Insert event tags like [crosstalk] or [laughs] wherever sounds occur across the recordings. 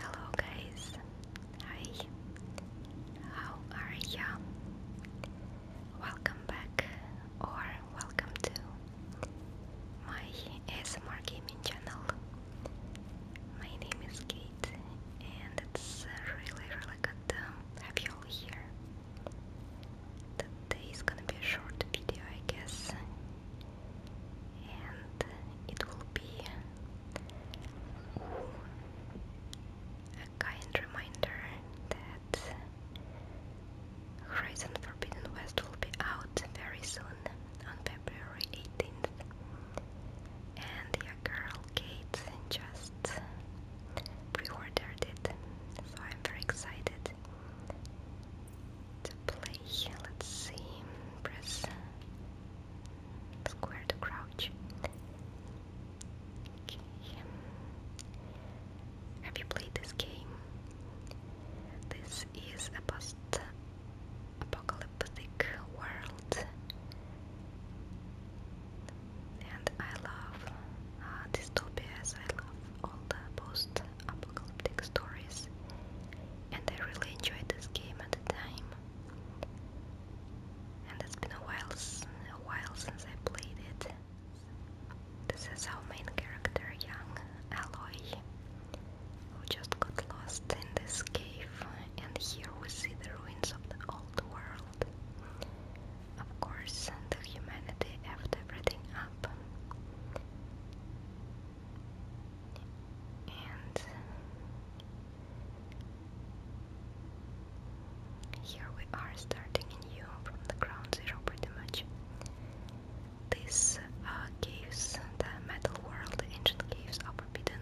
Hello guys, hi, how are you? Welcome back or welcome to my SMR gaming channel. My name is Kate and it's really really good to have you all here. Today is gonna be a short video I guess and it will be a kind reminder that Horizon Forbidden West will be out very soon on February 18th. And your girl Kate just pre it, so I'm very excited to play. Let's see, press Square to crouch. Have you played this game? This is a post-apocalyptic world, and I love uh, dystopias. I love all the post-apocalyptic stories, and I really enjoyed this game at the time and it's been a while, a while since I played it. This is our main character, young Alloy, who just got lost in this cave, and here we see the ruins of the old world. Of course, the humanity after everything happened. And here we are starting anew from the ground zero pretty much. These caves, uh, the metal world, the ancient caves are forbidden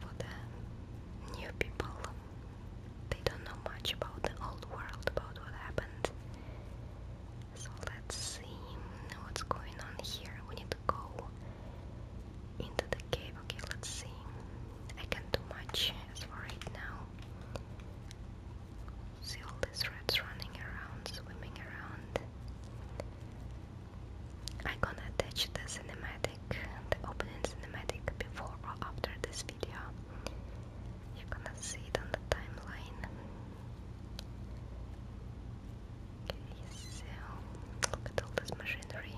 for the new people. They don't know much about the old world, about what happened. So let's see what's going on here. We need go into the cave. Okay, let's see. I can't do much as for now. See all these rats running around, swimming around. I'm gonna attach the cinematic, the opening cinematic before or after this video. You're gonna see it on the timeline. Okay, so look at all this machinery.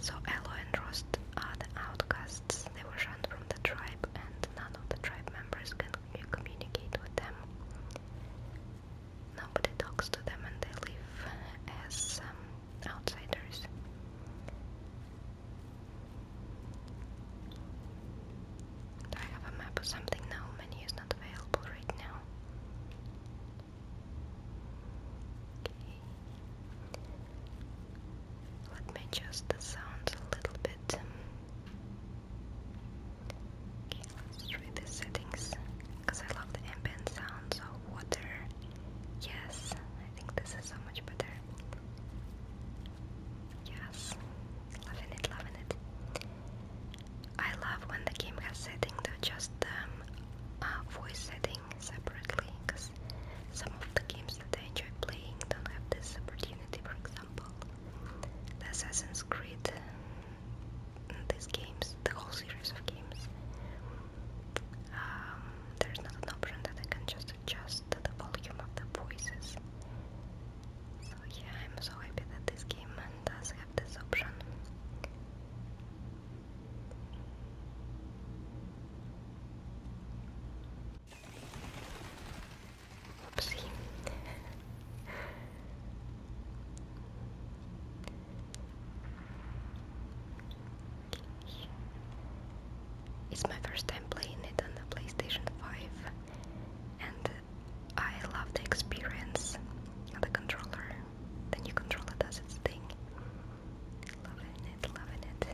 So Elo and Rost are the outcasts. They were shunned from the tribe, and none of the tribe members can communicate with them. Nobody talks to them, and they live as um, outsiders. Do I have a map or something? No, menu is not available right now. Let me adjust the sound a little bit. Okay, let's try the settings because I love the ambient sounds of water. Yes, I think this is so much better. Yes, loving it, loving it. I love when the game has setting though, just um, voice setting separately, because some of the games that I enjoy playing don't have this opportunity. For example, the Assassin's Creed, mm, these games, the whole series of games. Um, there's not an option that I can just just adjust the volume of the voices. So yeah, I'm so happy that this game does have this option. It's my first time playing it on the PlayStation 5 and I love the experience of the controller. The new controller does its thing. Loving it, loving it.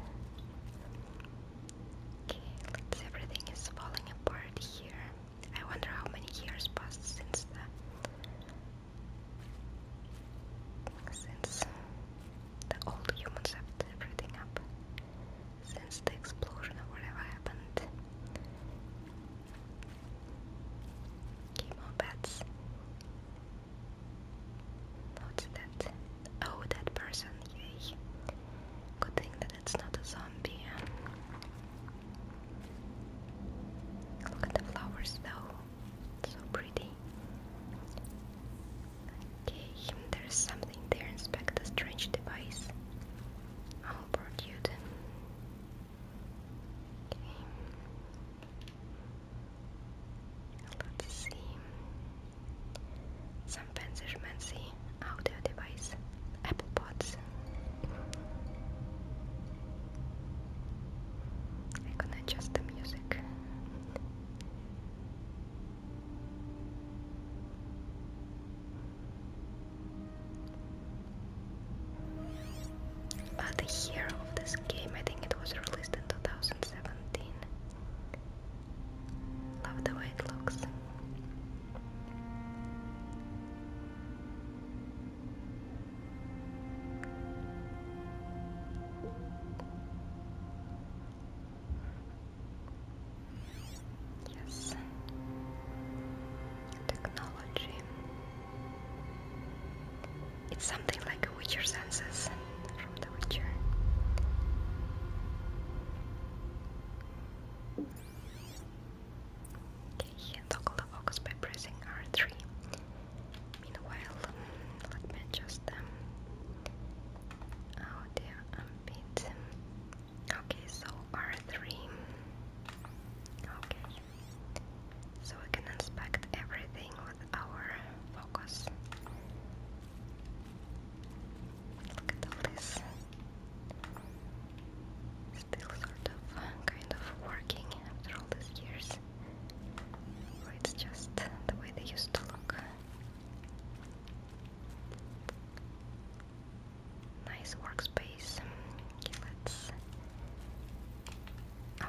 Okay, let everything is falling apart here. I wonder how many years passed since the since the old humans have everything up since the explosion or whatever happened. Chemo bats. What's that? Oh, that person, Good thing that it's not a zombie. Look at the flowers though, so pretty. Okay, hmm, there's something there. Inspect the strange device. I'll board you then. Okay. Let's see. Some Panzer Mancy audio device. Apple Pods. I can adjust the music the year of this game, I think it was released in 2017. Love the way it looks. Yes. Technology. It's something like Witcher senses from The Witcher. Okay, here toggle the focus by pressing R3. Meanwhile, let me adjust them. Um, oh dear, I'm bit. Okay, so R3. Okay. So we can inspect everything with our focus. Look at all this. Still sort of kind of working after all these years. it's just the way they used to look. Nice workspace. Okay, let's.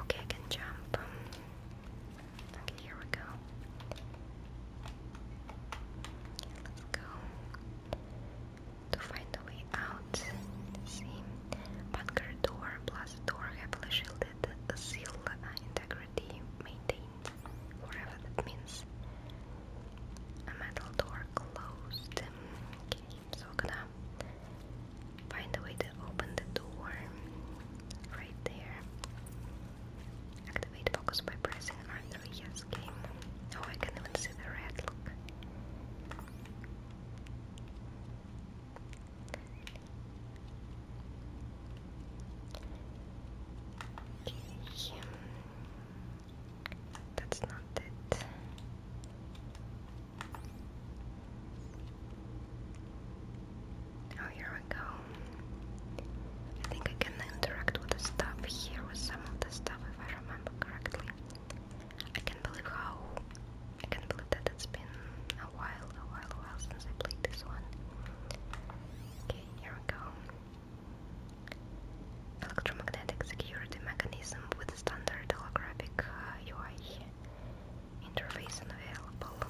Okay, can jump. Okay, here we go. let's go to find a way out. See, bunker door plus door heavily shielded, seal uh, integrity maintained whatever that means. A metal door closed. Okay, so I'm gonna find a way to open the door right there. Activate focus by pressing R3. Yes, game. Oh, I can even see the red. Look. That's not it. Oh, here we go. I think I can interact with the stuff here, with some of the stuff, if I remember correctly. I can't believe how. I can't believe that it's been a while, a while, a while since I played this one. Okay, here we go. Electromagnetic security mechanism with standard holographic UI uh, interface available.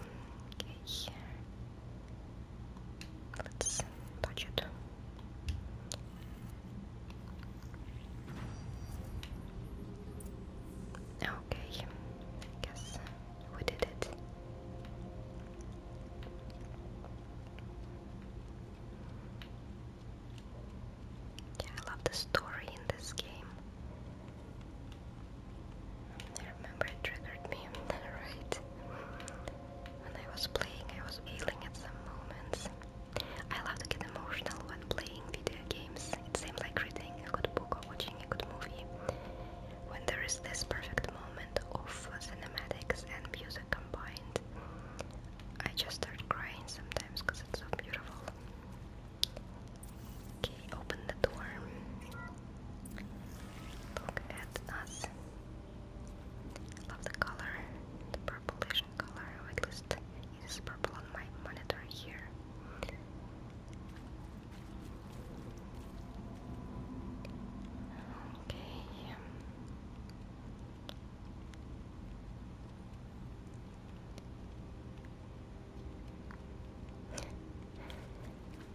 Let's touch it. Okay, guess we did it. Yeah, I love the story in this game. I remember it triggered me, right? When I was playing, I was feeling at some moments. I love to get emotional when playing video games. It seems like reading a good book or watching a good movie. When there is this perfect moment of cinematics and music combined. I just start crying sometimes because it's so beautiful. Okay, open the door. Look at us. Love the color, the purplish color, oh, at least it is purple on my monitor here. Okay.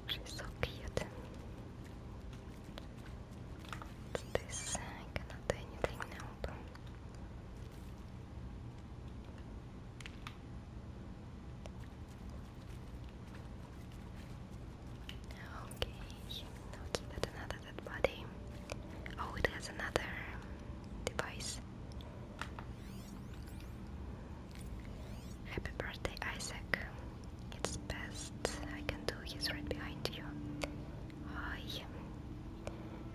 She's so cute. this? I cannot do anything now. But... Okay, now give another dead body. Oh, it has another device. Happy birthday, Isaac. It's best I can do. He's right behind you. Hi.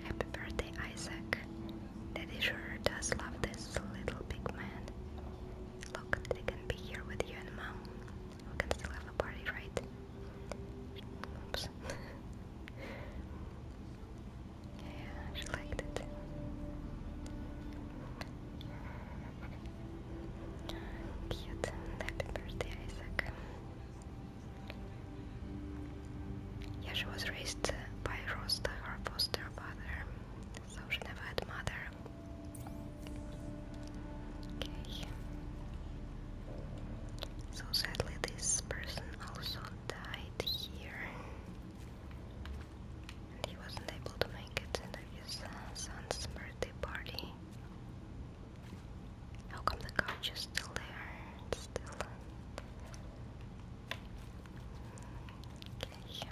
Happy birthday, Isaac. Daddy sure does love this little big man. Look, they can be here with you and mom. We can still have a party, right? [laughs] yeah, she liked it. Cute. Happy birthday, Isaac. Yeah, she was raised by Rosta, her foster father, so she never had mother. So sadly, this person also died here, and he wasn't able to make it to his uh, son's birthday party. How come the couch is still there? still. Okay.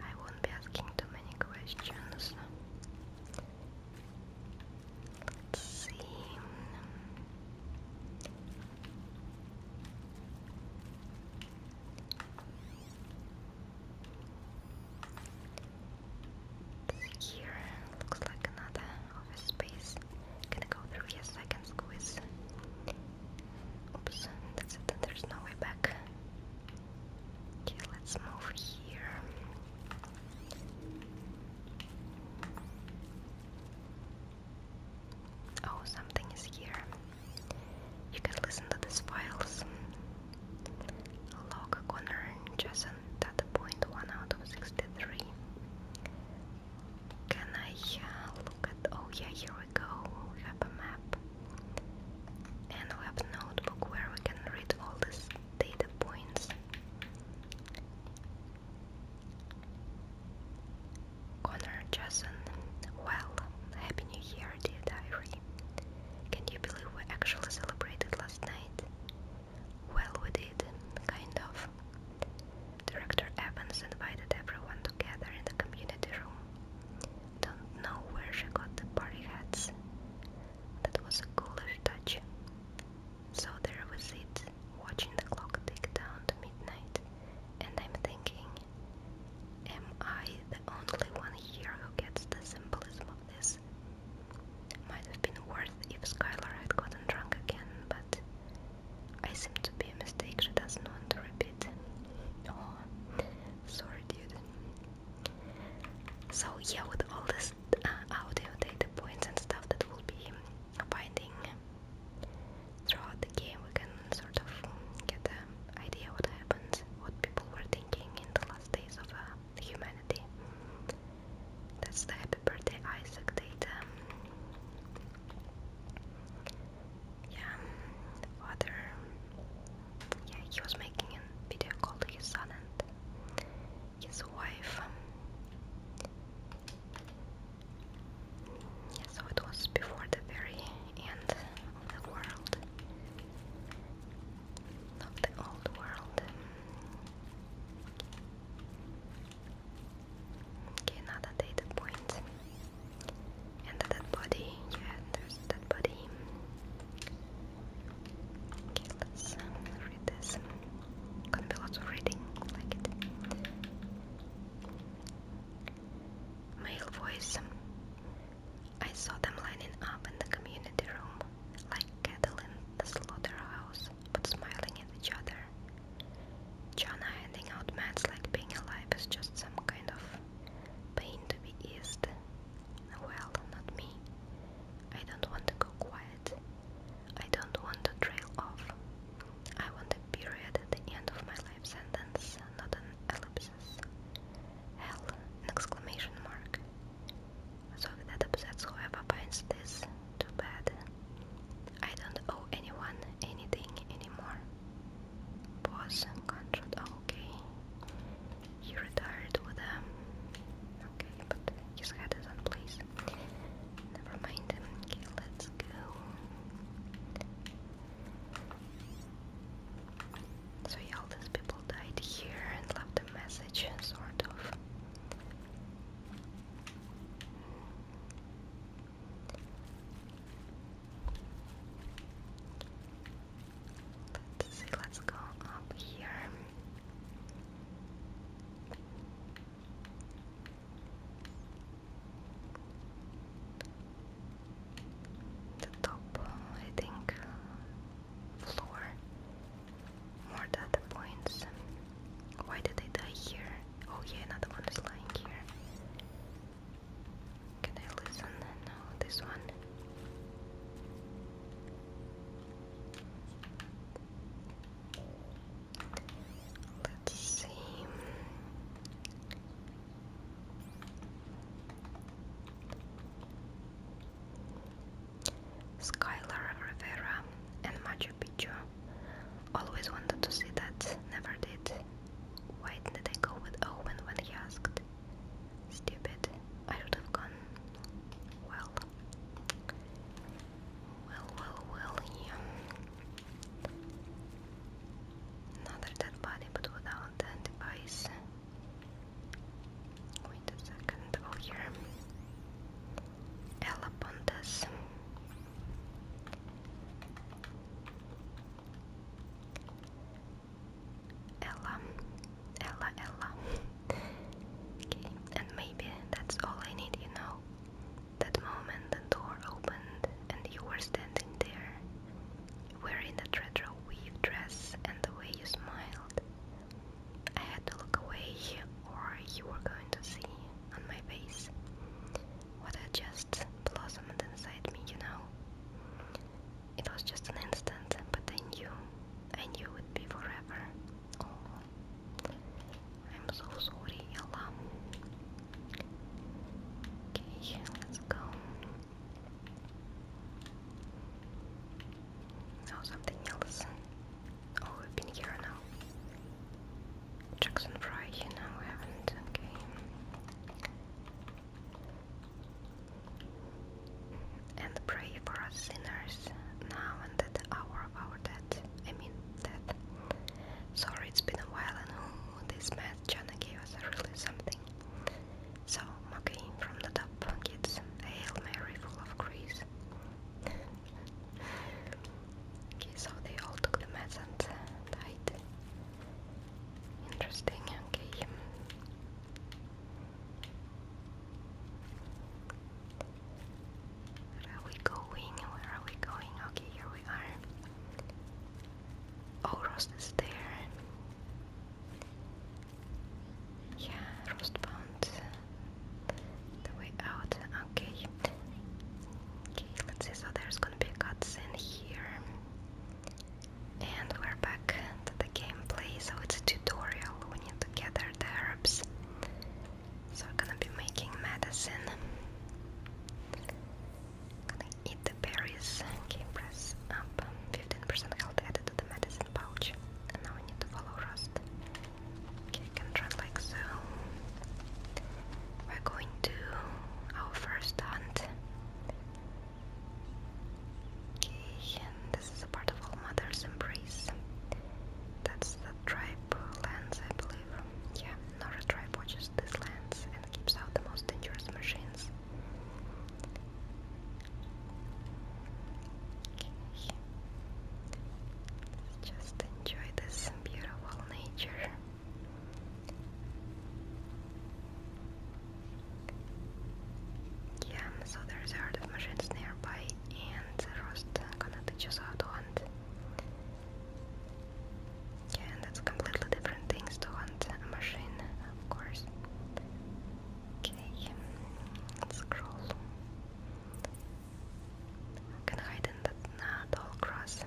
I won't be asking too many questions. Let's see. here looks like another office space. Gonna go through here second squeeze. Oops, that's it, there's no way back. Okay, let's move here. Oh, something is here. You can listen to these files. Log Connor Jason data point 1 out of 63. Can I uh, look at. Oh, yeah, here we go. We have a map. And we have a notebook where we can read all these data points. Connor Jason, well, Happy New Year, dear diary. Can you believe we actually celebrated last night? Well, we did, kind of. Director Evans invited everyone together in the community room. Don't know where she got the party hats. That was a cooler touch. So there was it, watching the clock tick down to midnight, and I'm thinking, am I the only one here who gets the symbolism of this? Might have been worth if Skylar had gotten drunk again, but I seem to be a mistake she doesn't want to repeat. Oh, sorry, dude. So yeah, with all this these uh, audio data points and stuff that will be finding throughout the game, we can sort of get an idea what happens, what people were thinking in the last days of uh, humanity. That's the Happy Birthday Isaac data. Yeah, father. Yeah, he was making a video call his son, and his wife. Yeah, so it was before the very end of the world, of the old world. Okay, another data point. And the body, yeah, there's body. Okay, let read this. Gonna be of reading, like it. Male voice. I saw them lining up in the community room, like cattle in the slaughterhouse, but smiling at each other. Jana handing out mats like being alive is just some kind of pain to be eased. Well, not me. I don't want to go quiet. I don't want to trail off. I want a period at the end of my life sentence, not an ellipsis. Hell, an exclamation mark. So if that upsets whoever finds this, too bad. I don't owe anyone anything anymore. Pause, control, okay. He retired with them, um, okay, but his head is on place. Never mind. Okay, let's go. So yeah, all these people died here and left a message, sort of. Let's see, let's go up here the top, I think, floor. More data points. Why did they die here? Oh yeah, another one is lying here. Can I listen? No, this one. Let's see. Skylar Rivera and Machu Picchu. Always wanted to see that, never did. Why didn't I go with Owen when he asked? Stupid. I should have gone. Well, well, well, well, yeah. Another dead body, but without the device. Wait a second, oh here. Ella Pontes. Ella Ella Ella. okay, and maybe that's all I need, you know. That moment the door opened and you were standing there, wearing that retro weave dress and the way you smiled. I had to look away, or you were going to see on my face what had just blossomed inside me, you know. It was just an instant, but I knew, I knew it would be forever. I'm so sorry, Ella. Okay, let's go. Now something else. Oh, we've been here now. Jackson Fry, you know, we haven't. Okay and pray for us sinners now and at the hour of our death. I mean, death. Sorry, it's been a while, and who this mad Jonah gave really something. So, okay, from the top, kids, hail Mary, full of grace. okay, so the meds and Interesting. Okay. Where are we going? Where are we going? Okay, here we are. Oh, Rost is there. Yeah, Rost found the way out. Okay. Okay, let's see. So there's gonna be a cutscene here. And we're back to the gameplay. So it's a tutorial. We need to gather the herbs. So we're gonna be making medicine. Gonna eat the berries. Okay, press up. 15% health added to the medicine pouch. now we need to follow Rust. Okay, can run like so. We're going to our first hunt. Okay, this is a part of all mother's embrace. That's the tribe lens, I believe. Yeah, Nora tribe watches this lens and keeps out the most dangerous machines. just enjoy this beautiful nature. Yeah, so there's a herd of machines nearby and roast kanatachuzado uh, and yeah, and that's completely different things to hunt a machine, of course. Okay, scroll. can hide in that nah, tall grass.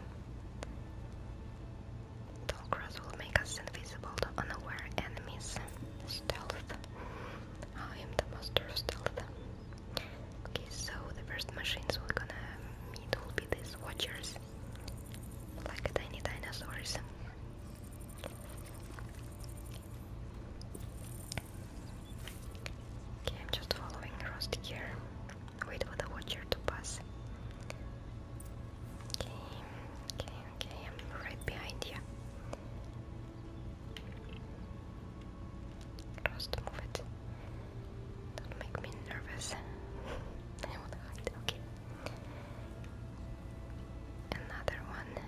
Tall grass will make us invisible to unaware enemies. Stealth. I am the master of stealth. Okay, so the first machines we're gonna meet will be these watchers. Like tiny dinosaurs. Okay, I'm just following Rusty here. Wait for the watcher to pass. Okay, okay, okay, I'm right behind you. Just move it. Don't make me nervous. [laughs] I will hide. Okay. Another one.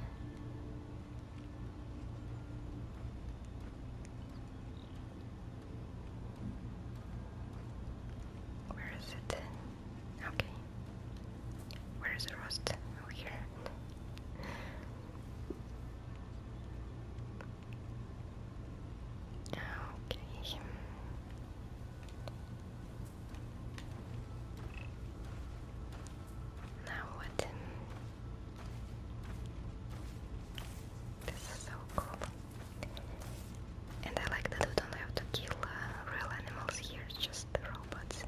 Where is it? Okay. Where is the rust? Over here. Okay. Now what? This is so cool. And I like that we don't have to kill uh, real animals here, just robots.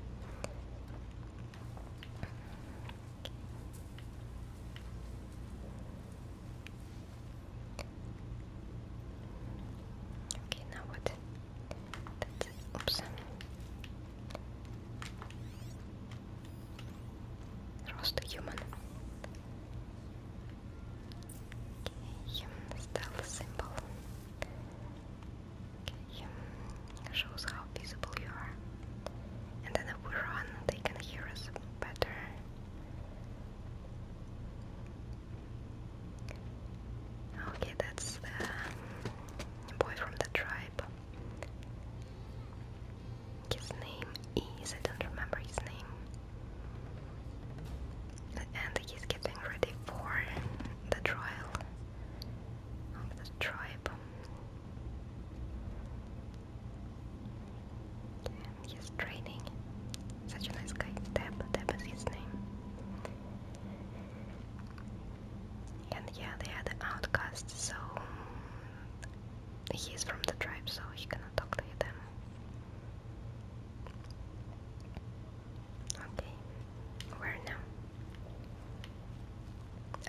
Okay, now what? That's it. Oops. human. Okay, human stealth symbol shows how visible you are. And then if we run, they can hear us better. Okay, that's the boy from the tribe. His name is, I don't remember his name. And he's getting ready for the trial of the tribe he's training. Such a nice guy. Deb, Deb is his name. And yeah, they are the outcasts, so he's from the tribe, so he cannot talk to them. Okay, where now?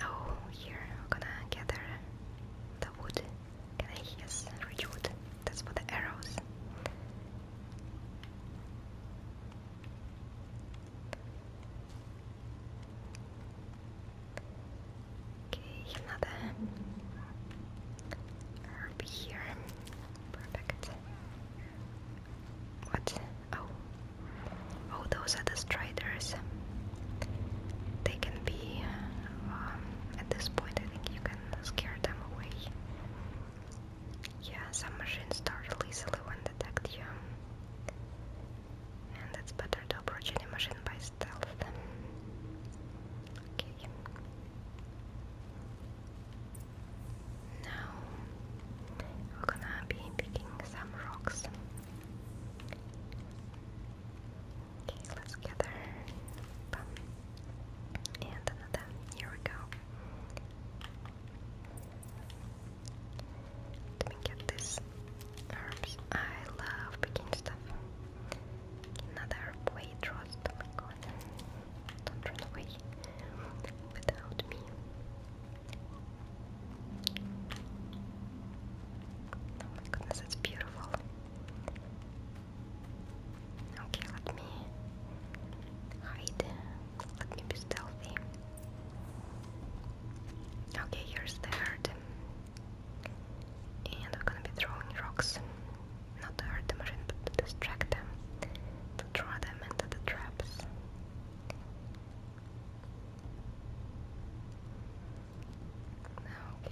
Oh, here I'm gonna gather the wood. Can I? Yes, rich That's for the arrows. Okay, another herb here. Perfect. What? Oh, Oh, those are the striders. They can be, uh, um, at this point, I think you can scare them away. Yeah, some machines startle easily when detect you. And it's better to approach any machine by stealth. Okay. Now we're gonna be picking some rocks. Okay, let's gather and another. Here we go. Let me get this herbs. I love picking stuff. Another weight roast. Oh Don't run away without me. Oh my goodness, it's beautiful. Okay, let me hide. Let me be stealthy. Okay, here's the herd. And we're gonna be throwing rocks. Not to the machine, but to distract them. To draw them into the traps. Okay.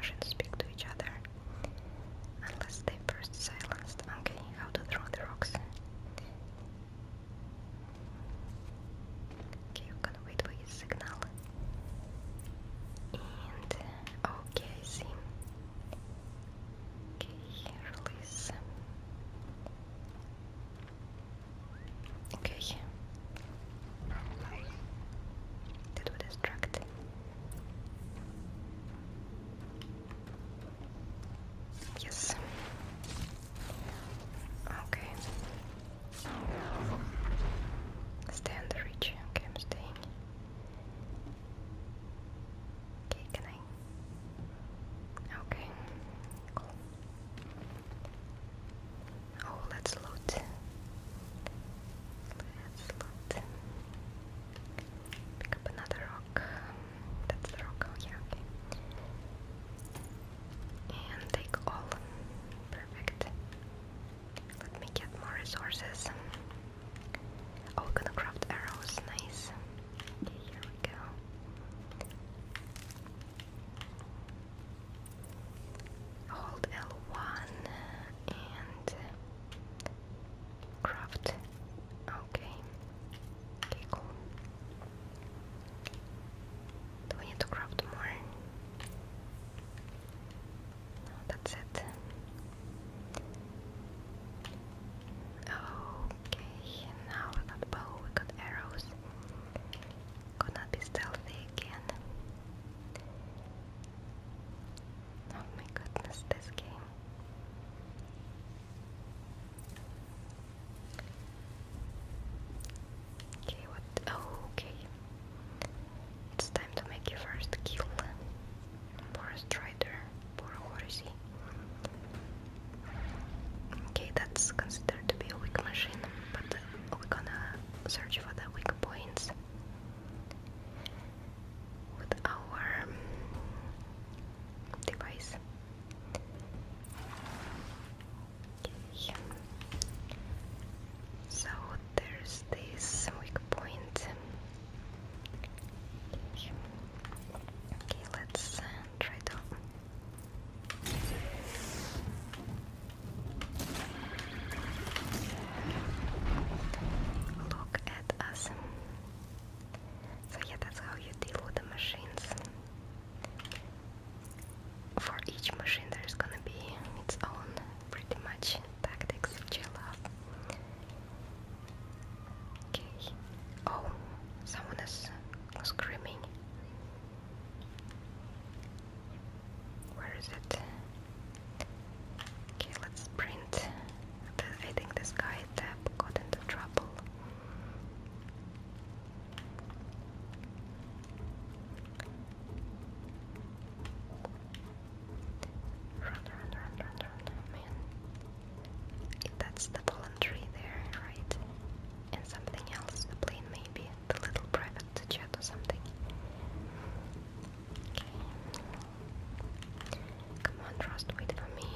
Shouldn't speak to each other unless they first silenced. Okay, how to throw the rocks. Okay, I'm gonna wait for his signal. And okay, see. Okay, release. Okay. That would distract. Yes. Okay. Stay on the reach. Okay, I'm staying. Okay, can I Okay, Oh, let's loot. Let's loot. Pick up another rock. That's the rock. Oh, yeah, okay. And take all. Perfect. Let me get more resources. Oh, we're gonna craft arrows, nice. Okay, here we go. Hold L1 and craft. Okay. Okay, cool. Do we need to craft more? that's it. Okay, now we got bow, we got arrows. Gonna be stealthy again. Oh my goodness, this game. Okay, what? Oh, okay. It's time to make your first kill. Poor Strider. Poor Okay, that's considered to be a weak machine, but uh, we're gonna search for the weak points with our um, device. So there's this weak point. Okay, let's uh, try to. Look at us. So, yeah, that's how you deal with the machines. For each machine, there's gonna be its own pretty much tactics, which I Okay. Oh, someone is screaming. Where is it? Okay, let's sprint. I think this guy Tab got into trouble. Run, run, run, run, run, man. That's the fallen tree there, right? And something else, the plane maybe, the little private jet or something. Come on, Trust, wait for me.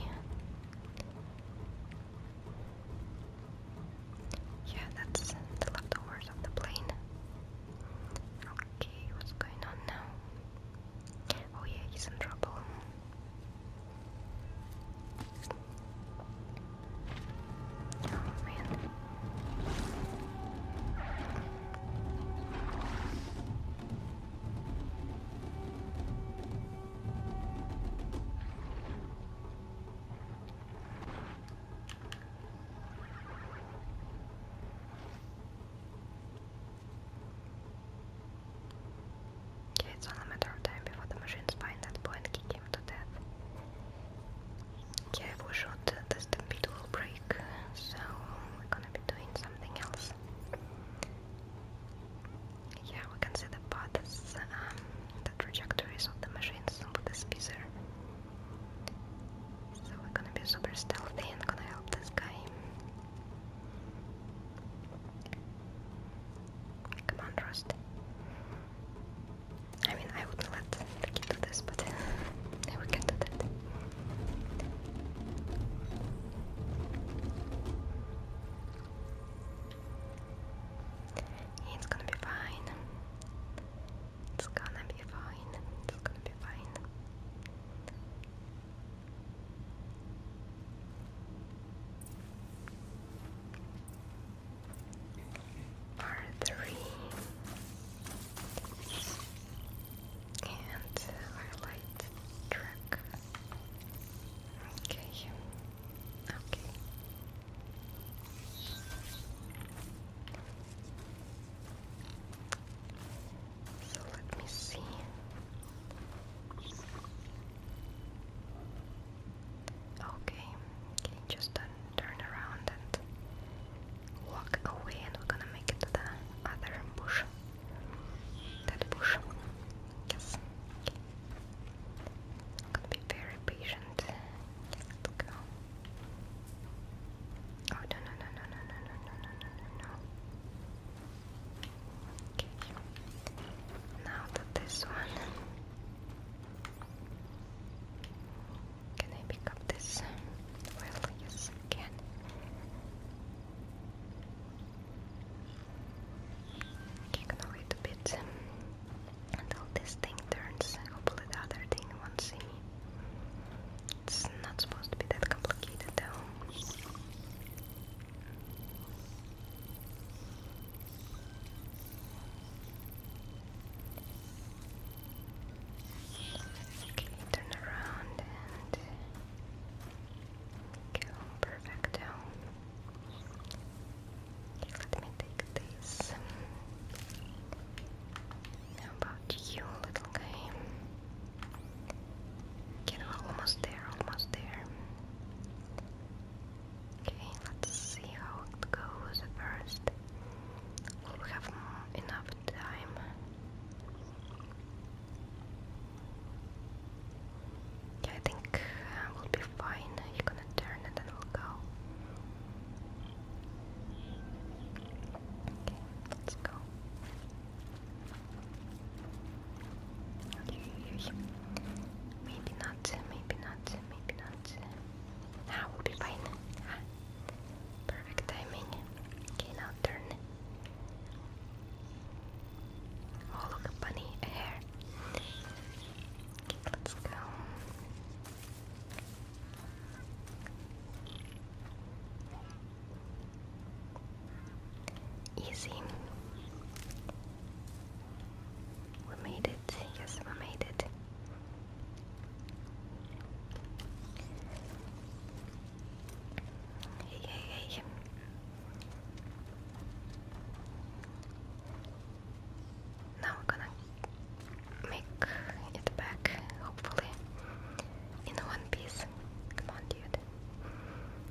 Yeah, that's the leftovers of the plane. Okay, what's going on now? Oh yeah, he's in trouble. man. Okay, it's only a matter of time before the machines find that boy and kick him to death. Yeah, we shoot, the stampede will break, so we're gonna be doing something else. Yeah, we can see the paths, um, the trajectories of the machines with the speezer. So we're gonna be super stealthy and gonna help this guy. Come on, Rust. I mean, I wouldn't let the do this, but [laughs] we can do that. It's gonna be fine. It's gonna be fine. It's gonna be fine. R3 and highlight track. Okay, okay. So let me see. Okay, just turn, around and walk away, and we're gonna make it to the other bush. That bush. Yes. Okay. i to be very patient. Yes, let go. Oh no no no no no no no no no no no! Now to this one. Can I pick up this? Well, yes, can. Ignore it a bit until this thing turns. Hopefully, the other thing won't see me. It's not supposed to be that complicated, though. Okay, turn around and go perfecto. Okay, let me take this. How about you, little guy? Okay, we're almost there, almost there. Okay, let's see how it goes first. we have enough time? Yeah, I think uh, we'll be fine. You're gonna turn and then we'll go. Okay, let's go. Maybe not, maybe not, maybe not. Now ah, we be fine. Ah, perfect timing. Okay, now turn. Oh, look, a bunny, Okay, let's go. Easy. We made it. Yes, we made it. Hey, hey, Now we're gonna make it back, hopefully, in one piece. Come on, dude.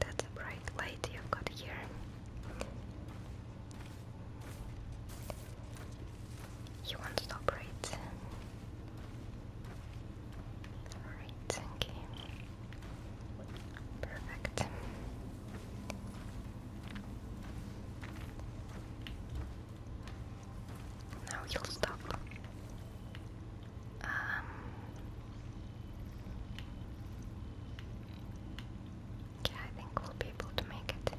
That's a bright light you've got here. You want to stop right? Alright, Perfect. Now you'll stop. Um, yeah, I think we'll be able to make it.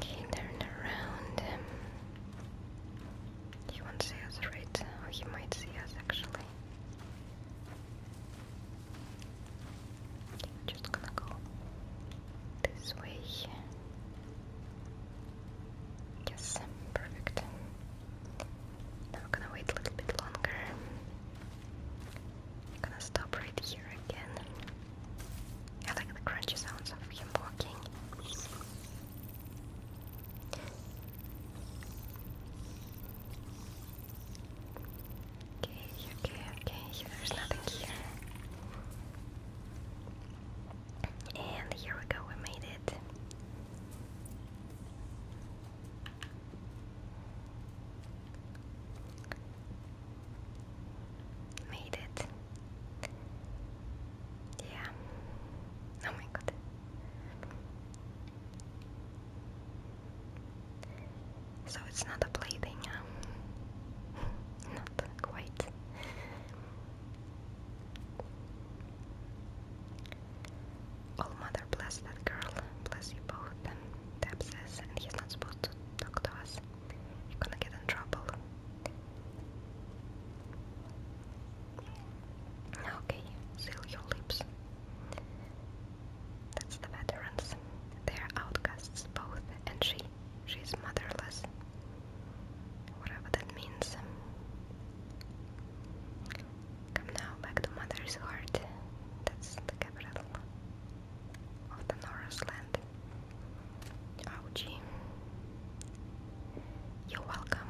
He turned around. He um, won't see us, right? Or oh, he might see us actually. just gonna go this way. Yes, perfect. Now I'm gonna wait a little bit longer. gonna stop right here again. I like the crunchy sounds of him walking. Okay, okay, okay, there's nothing here. And here we go, we made it. Made it. Yeah. Oh my god. So it's not a play [laughs] not quite. All oh, mother, bless that girl. Bless you both. Deb says, and he's not supposed to talk to us. You're gonna get in trouble. Okay, seal your lips. That's the veterans. They're outcasts both, and she she's motherless. Whatever that means. Um, come now back to mother's heart. That's the capital of the Norris land. You're welcome.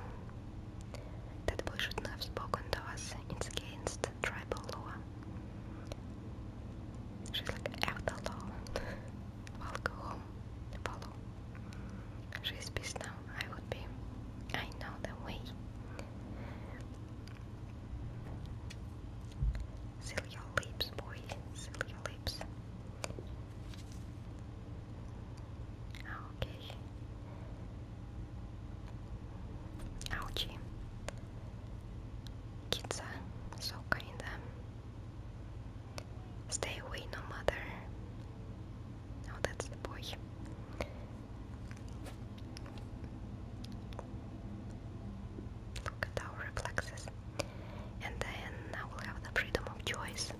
That boy shouldn't have spoken to us. It's against tribal law. She's like, out the law. [laughs] I'll go home. Follow. She's pissed now. I would be. I know the way. Seal your lips, boy. Seal your lips. Okay. Ouchie. Kitsa, so kinda. Stay away, no mother. No, oh, that's the boy. Look at our reflexes. And then I will have the freedom of choice.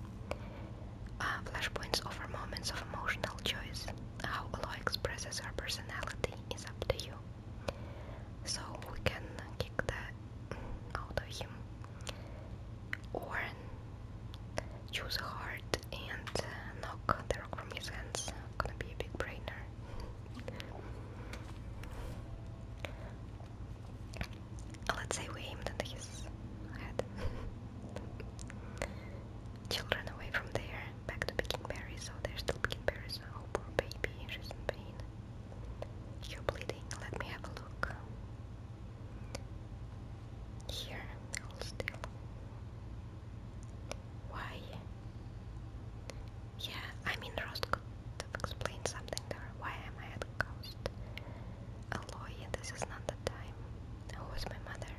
Uh, flashpoints offer moments of emotional choice. How Aloy expresses her personality is up to you. So we can kick the out of him or choose hard and uh, knock the rock from his hands. Gonna be a big brainer. Let's say we aimed at his head. Children away from there, back to picking berries. Oh, they're still picking Oh, poor baby, she's in pain. You're bleeding. Let me have a look. Here I'm still. Why? Yeah, I'm in Rostov. Explain something there. Why am I at the coast? Aloy, this is not the time. Who is my mother?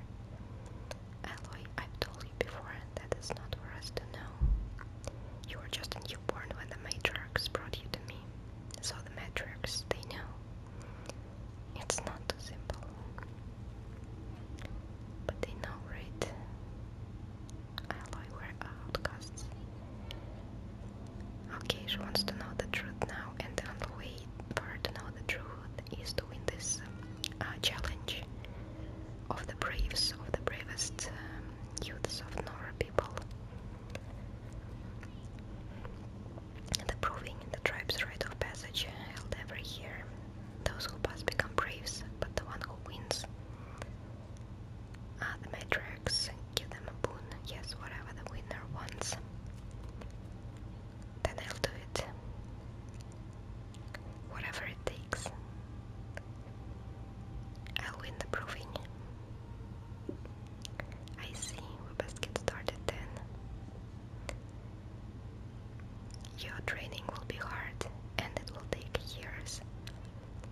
Aloy, I've told you before, and that is not for us to know. You were just a newborn when the matriarchs brought you to me. So the metrics, they know it's not too simple. But they know, right? Alloy were outcasts. Okay, she wants to know the truth now, and the only way for her to know the truth is to win this um, uh, challenge of the braves, of the bravest um, youths of Nora people. The proving the tribe's rite of passage held every year. Those who pass become braves, but the one who wins. Ah, the matriarchs give them a boon. Yes, whatever the winner wants. Then I'll do it. Whatever it takes. I'll win the proving. I see, we best get started then. Your training will be hard and it will take years.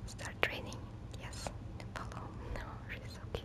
Start training, yes, follow. No, she's so cute.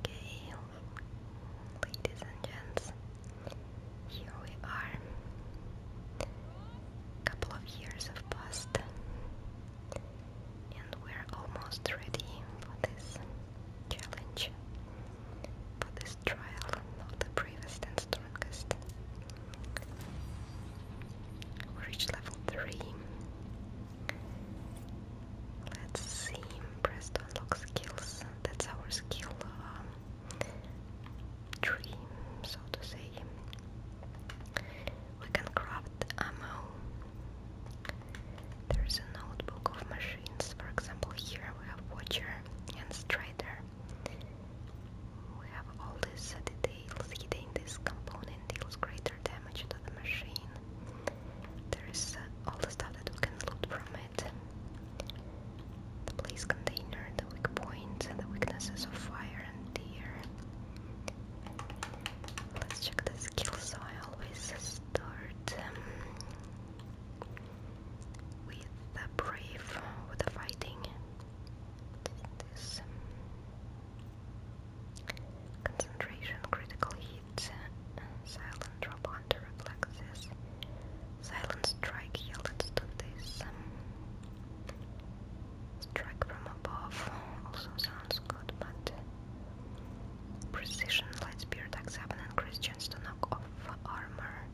Okay, ladies and gents, here we are. A couple of years have passed, and we're almost ready for this challenge, for this trial of the bravest and strongest. Reach level 3. Let's see. Press to unlock skills. That's our skill um, so to say. We can craft ammo. There's a notebook of machines. For example, here we have Watcher and Strider. We have all these details hidden. This component deals greater damage to the machine. There is uh, all the stuff that we can loot from it. The place container, the weak points, and the weaknesses of fire and air. Let's check the skills. So I always start um, with the brave, with the fighting. Um, concentration, critical hit, uh, silent drop under reflexes, silent strike, yeah, let's this. Um, strike from above also sounds good, but precision, light spear, axe, and Christians to knock off armor.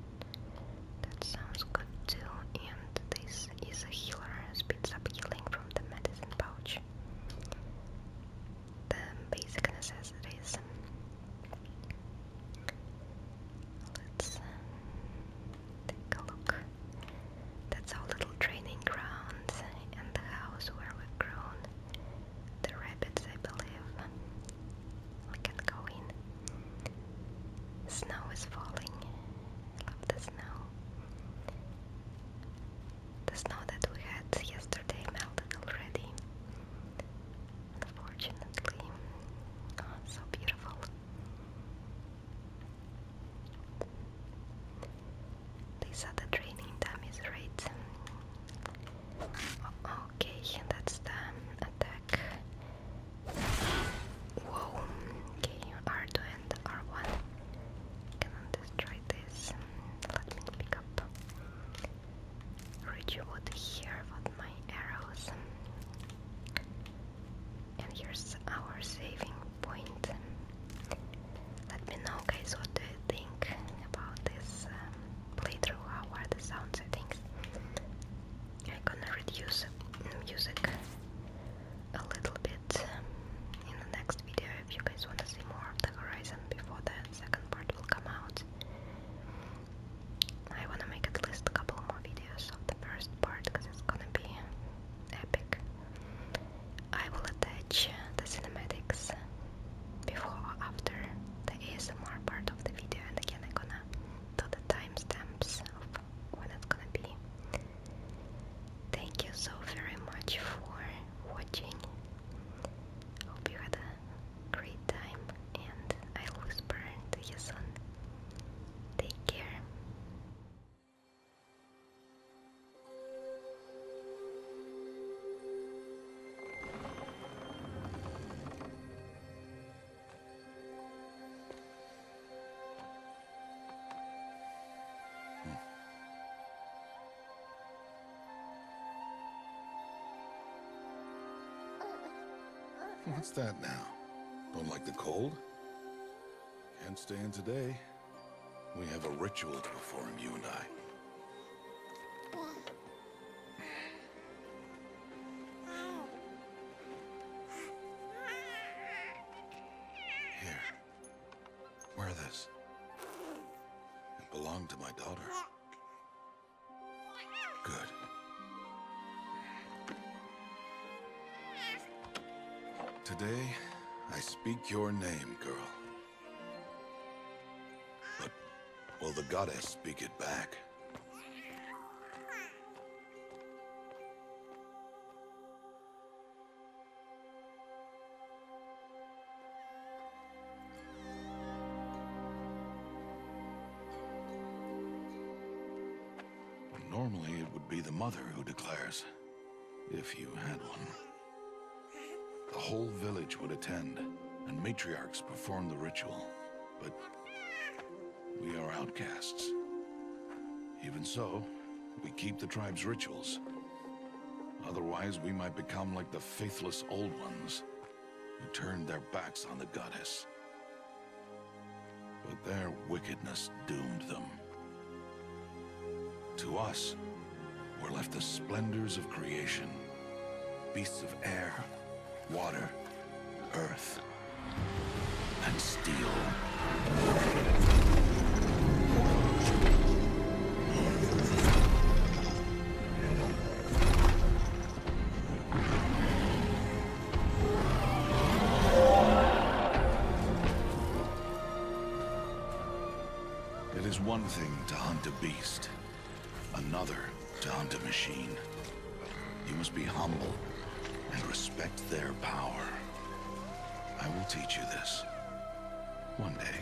That sounds good too, and this is a healer, speeds up healing from the medicine pouch. The basic necessities. Let's uh, take a look. That's our little training grounds and the house where we've grown the rabbits, I believe. We can go in. Snow is falling. I love the snow. The snow that we had yesterday melted already. Unfortunately. Oh, so beautiful. They said the training time is right. Oh, okay, that's the attack. Whoa, okay, R2 and R1. Cannot destroy this. Let me pick up rich wood here with my arrows. And here's our saving point. Let me know, guys, what do you think about this um, playthrough? How are the sound settings? I'm gonna reduce music a little bit um, in the next video if you guys want to see more of the horizon before the second part will come out. I wanna make at least a couple more videos of the first part because it's gonna be epic. I will attach the cinematics before or after the ASMR part of the video and again I'm gonna do the timestamps of what it's gonna be. Thank you so very much for watching. Hope you had a great time, and i whisper to you soon. Take care. Hmm. What's that now? Don't like the cold? Can't stay in today. We have a ritual to perform, you and I. Here. Wear this. It belonged to my daughter. Good. Today, I speak your name, girl. But will the goddess speak it back? Normally, it would be the mother who declares, if you had one. The whole village would attend, and matriarchs perform the ritual. But we are outcasts. Even so, we keep the tribe's rituals. Otherwise, we might become like the faithless Old Ones, who turned their backs on the Goddess. But their wickedness doomed them. To us, were left the splendors of creation. Beasts of air, water, earth, and steel. It is one thing to hunt a beast, another to hunt a machine. You must be humble and respect their power. I will teach you this. One day.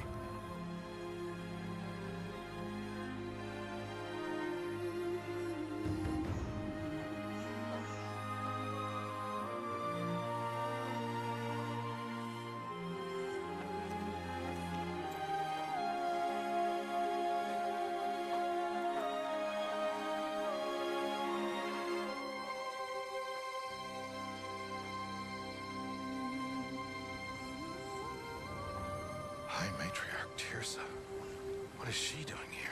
High Matriarch Tirsa. What is she doing here?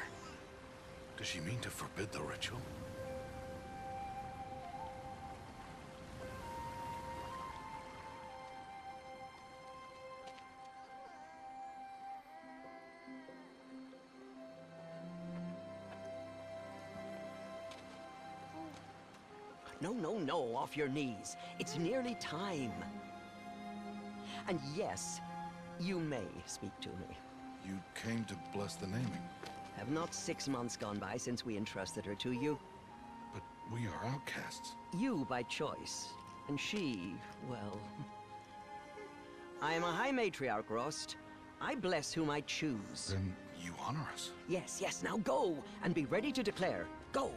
Does she mean to forbid the ritual? No, no, no, off your knees. It's nearly time. And yes, you may speak to me. You came to bless the naming. Have not six months gone by since we entrusted her to you? But we are outcasts. You by choice, and she, well... I am a high matriarch, Rost. I bless whom I choose. Then you honor us. Yes, yes, now go, and be ready to declare. Go!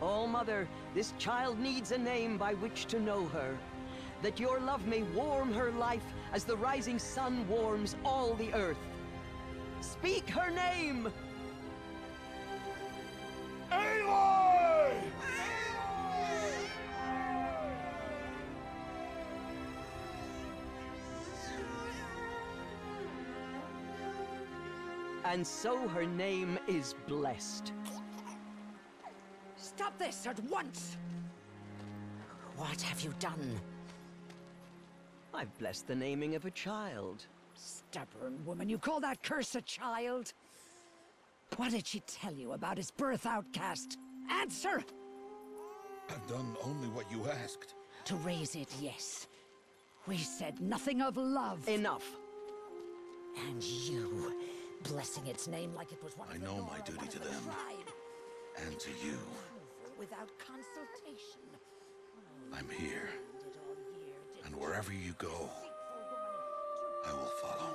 All oh, mother, this child needs a name by which to know her. That your love may warm her life as the rising sun warms all the earth. Speak her name! Aloy! And so her name is blessed. Stop this at once! What have you done? I've blessed the naming of a child. Stubborn woman, you call that curse a child? What did she tell you about his birth outcast? Answer! I've done only what you asked. To raise it, yes. We said nothing of love. Enough. And you, blessing its name like it was one I of the know my duty to them. And to you. Without consultation. I'm here. And wherever you go, I will follow.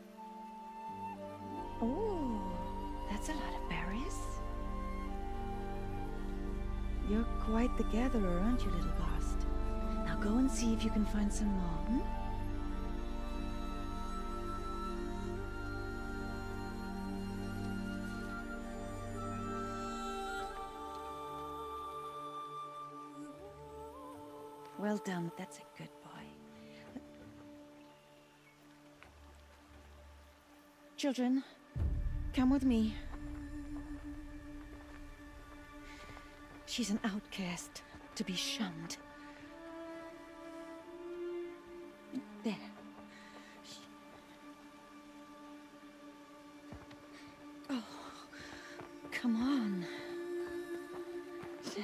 Oh, that's a lot of berries. You're quite the gatherer, aren't you, little Bast? Now go and see if you can find some more, hmm? Well done, that's it a Children, come with me. She's an outcast, to be shunned. There. Oh, come on. There.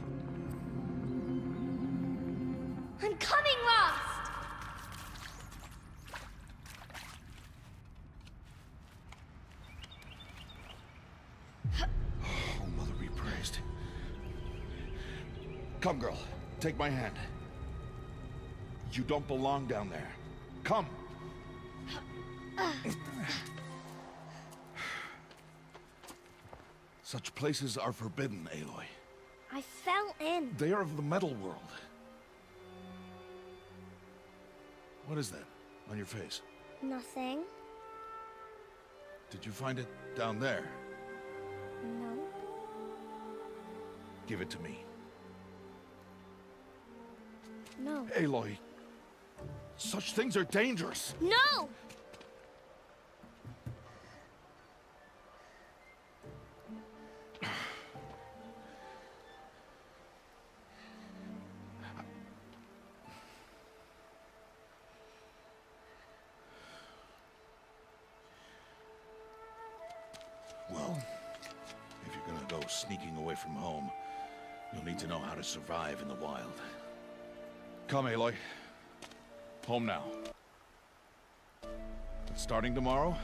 I'm coming, Rost! Oh, Mother be praised. Come, girl. Take my hand. You don't belong down there. Come! Such places are forbidden, Aloy. I fell in. They are of the metal world. What is that on your face? Nothing. Did you find it down there? No. Give it to me. No. Aloy, such things are dangerous. No! Well, if you're gonna go sneaking away from home, you'll need to know how to survive in the wild. Come, Aloy. Home now. But starting tomorrow,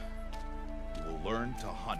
you will learn to hunt.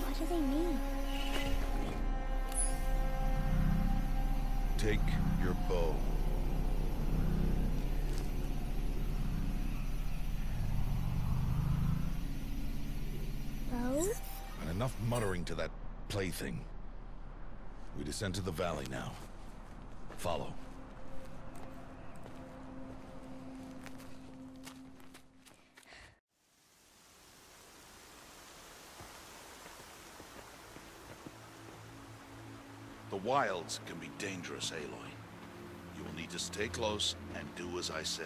What do they mean? Take your bow. Bow? And enough muttering to that plaything. We descend to the valley now. Follow. The wilds can be dangerous, Aloy. You will need to stay close and do as I say.